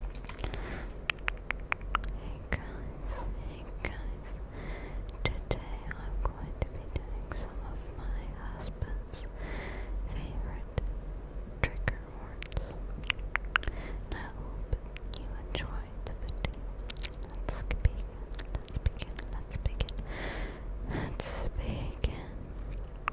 Hey guys, hey guys. Today I'm going to be doing some of my husband's favorite trigger words. I hope you enjoyed the video. Let's begin, let's begin, let's begin. Let's begin.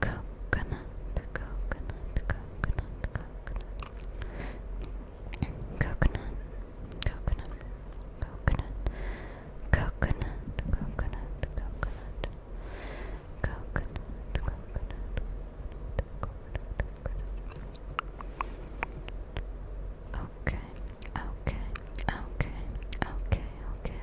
coconut, coconut, coconut, coconut, coconut, coconut, coconut, coconut, coconut, coconut, coconut, coconut, coconut. Okay, okay, okay, okay, okay,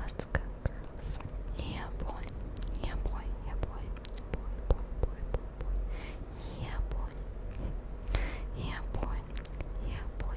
Let's go, girls. Yeah, boy. Yeah, boy. Yeah, boy. Yeah, boy. Yeah, boy. Yeah, boy. Yeah, boy.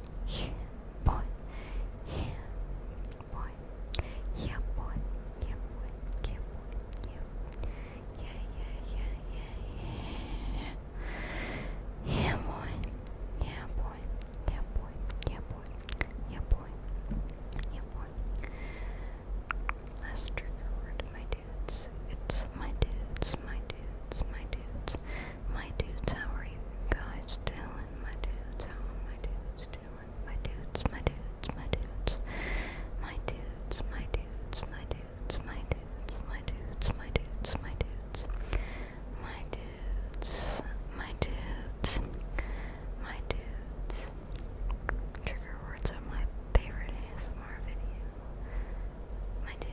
Yeah, boy. Yeah, boy. Yeah, boy. Yeah, boy. Yeah, boy. Yeah. Yeah, yeah, yeah, yeah, yeah. Yeah, boy. Yeah, boy. Yeah, boy. Yeah, boy. Yeah, boy. Yeah, boy. Last trigger word, my dudes. It's my dudes. My dudes, my dudes, my dudes, how are you guys doing? My dudes, how are my dudes doing? My dudes, my dudes, my dudes, my dudes, my dudes, my dudes, my dudes, my dudes, my dudes, my dudes, my dudes, my dudes, my dudes. Trigger words are my favorite ASMR video. My dudes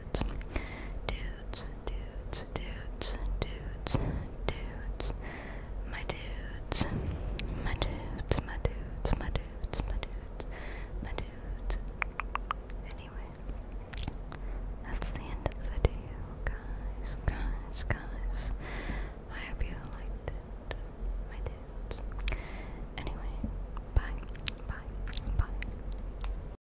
dudes, dudes, dudes, dudes, dudes, my dudes, my dudes, my dudes, my dudes, my dudes, my dudes. Anyway, that's the end of the video, guys, guys, guys. I hope you liked it, my dudes. Anyway, bye, bye, bye.